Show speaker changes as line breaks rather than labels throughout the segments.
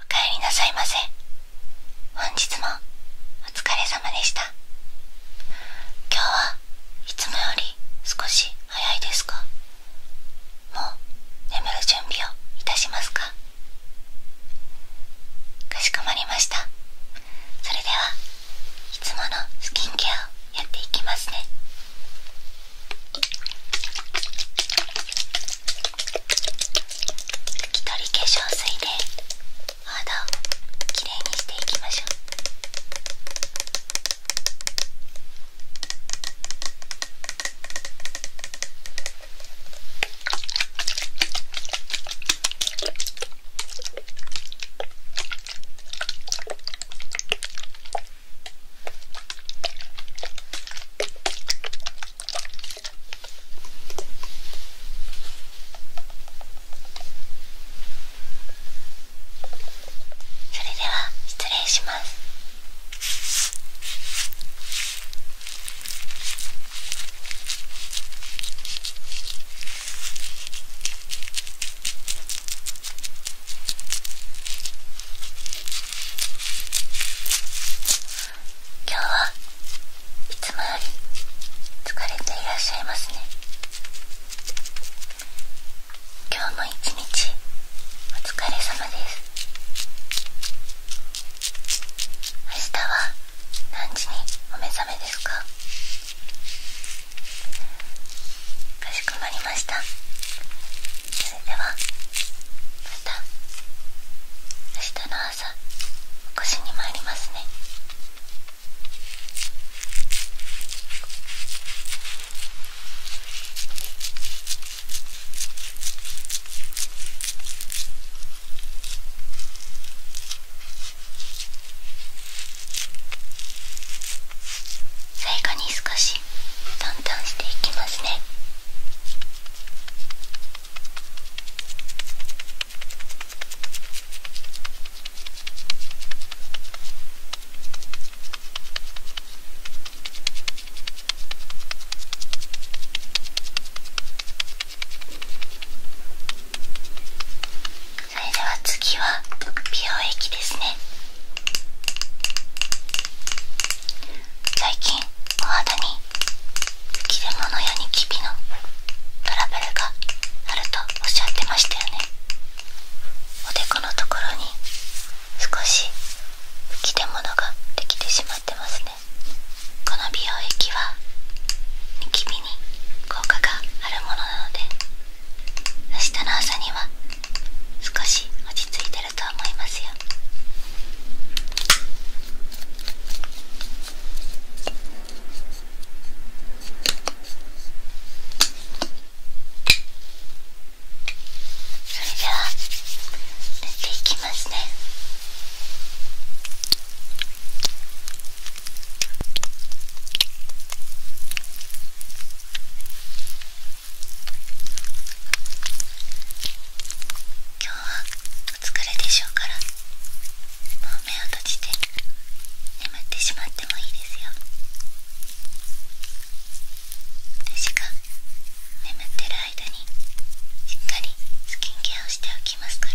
おかえりなさいませ本日もお疲れ様でした今日はいつもより少し早いですかもう眠る準備をいたしますかかしこまりましたそれではいつものスキンケアをやっていきますね拭き取り化粧水でお肌をきれいにしていきましょうそれでは失礼します。今日はいつもより疲れていらっしゃいますね今日も一日お疲れ様です明日は何時にお目覚めですかかしこまりましたそれではまた明日の朝お越しに参りますね最後に少しトントンしていきますね。それでは次は美容液ですね。最近お肌に切れ物やニキビのトラブルがあるとおっしゃってましたよねおでこのところに少し吹き出物ができてしまってますねこの美容液はニキビに効果があるものなので明日の朝には少し落ち着いてるいますよそれでは塗っていきますね今日はお疲れでしょうからもう目を閉じて眠ってしまってもいいですよ私が眠ってる間にしっかりスキンケアをしておきますから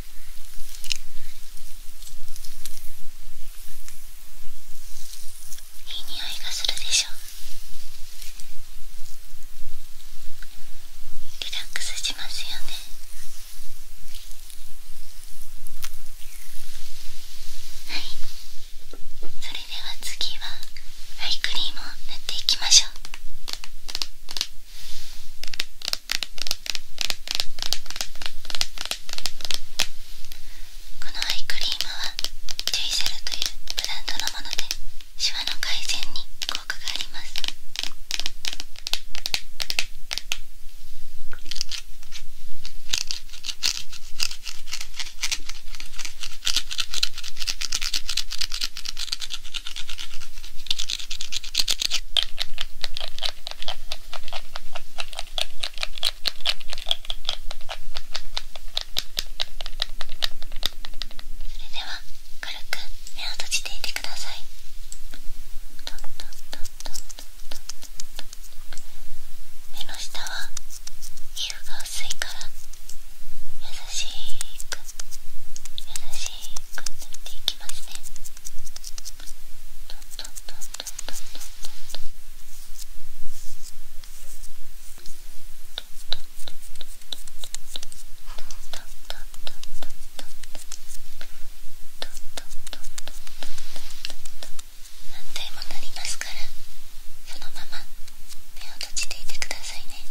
いい匂いがするでしょリラックスしますよねはいそれでは次はアイクリームを塗っていきましょうこのアイクリームはデュイセルというブランドのものでシワの改善に効果がありますそれでは軽く目を閉じていてください目の下は皮膚が薄いから優しくしく塗っていきますね何ンもなりますからそのまま目を閉じていてくださいね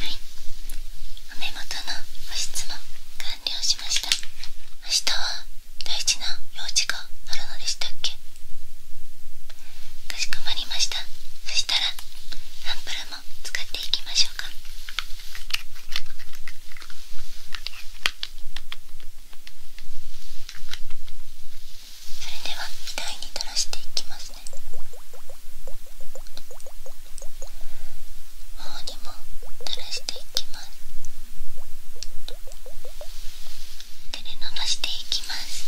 はいお目元の保湿も完了しました明日は大事な用事があるのでしたっけかしこまりましたそしたらアンプルも使っていきましょうかそれでは額に垂らしていきますね。頬にも垂らしていき手で伸ばしていきます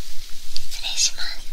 失礼します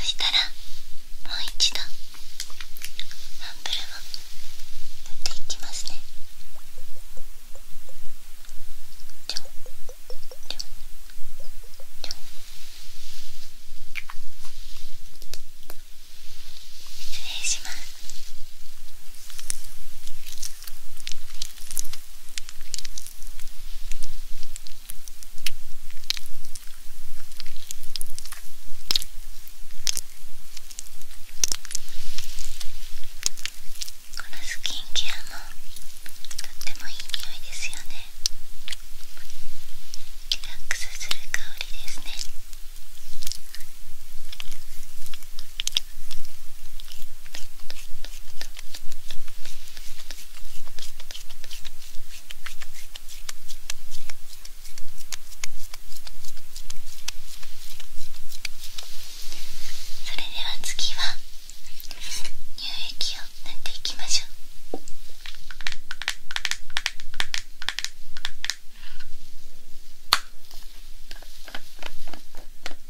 そしたらもう一度アンプルを塗っていきますね失礼しますこのスキンケアもとってもいい匂いですよねリラックスする香りですねそれでは次は乳液を塗っていきましょう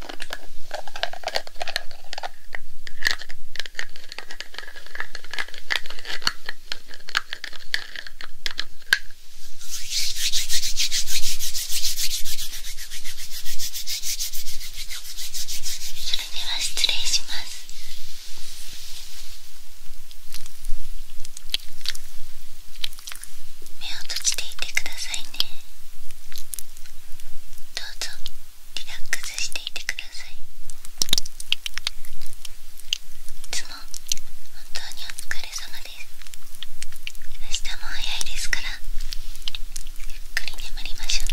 は失礼します。目を閉じていてくださいね。どうぞ。リラックスしていてくださいいつも本当にお疲れ様です明日も早いですからゆっくり眠りましょう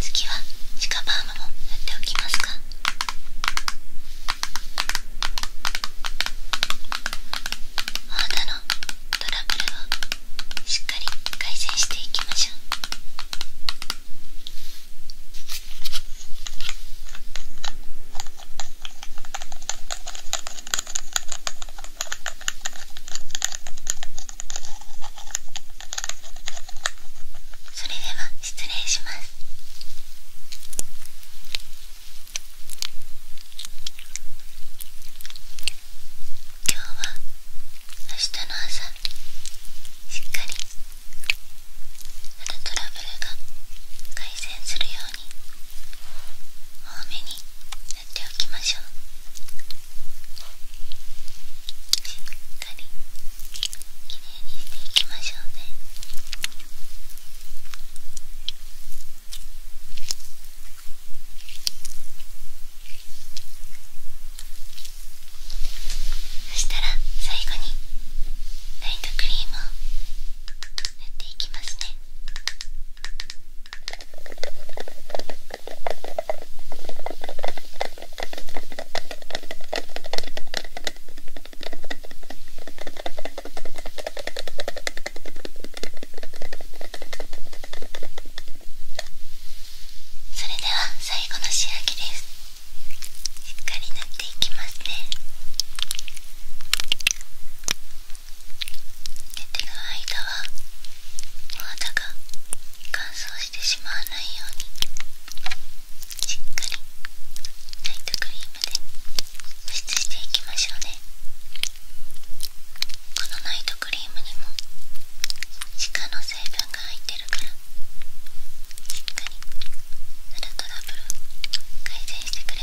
次はシカバームも塗っておきますかお肌のトラブルをしっかり改善していきましょうそれでは失礼します今日は明日の朝しっかりあのトラブルが改善するよ多めに塗っておきましょうしっかりきれいにしていきましょうねそしたら最後にライトクリームをっていきますねそれでは最後の仕上げですしっかり塗っていきますね。寝てる間はお肌が乾燥してしまわないようにしっかりナイトクリームで保湿していきましょうねこのナイトクリームにも歯科の成分が入ってるからしっかり肌トラブル改善してくれ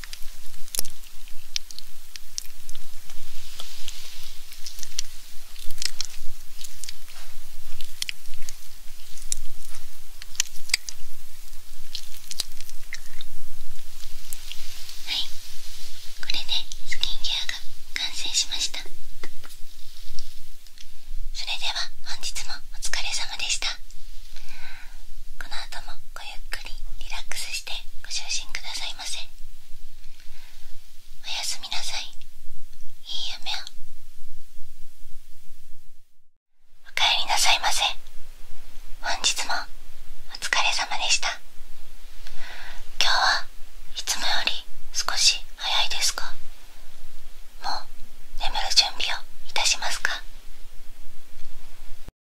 はいこれでスキンケアが完成しましたそれでは本日もお疲れ様でしたこの後もごゆっくりリラックスしてご就寝くださいませおやすみなさいいい夢をおかりなさいませ本日もお疲れ様でした今日はいつもより少し早いですかもう眠る準備をいたしますか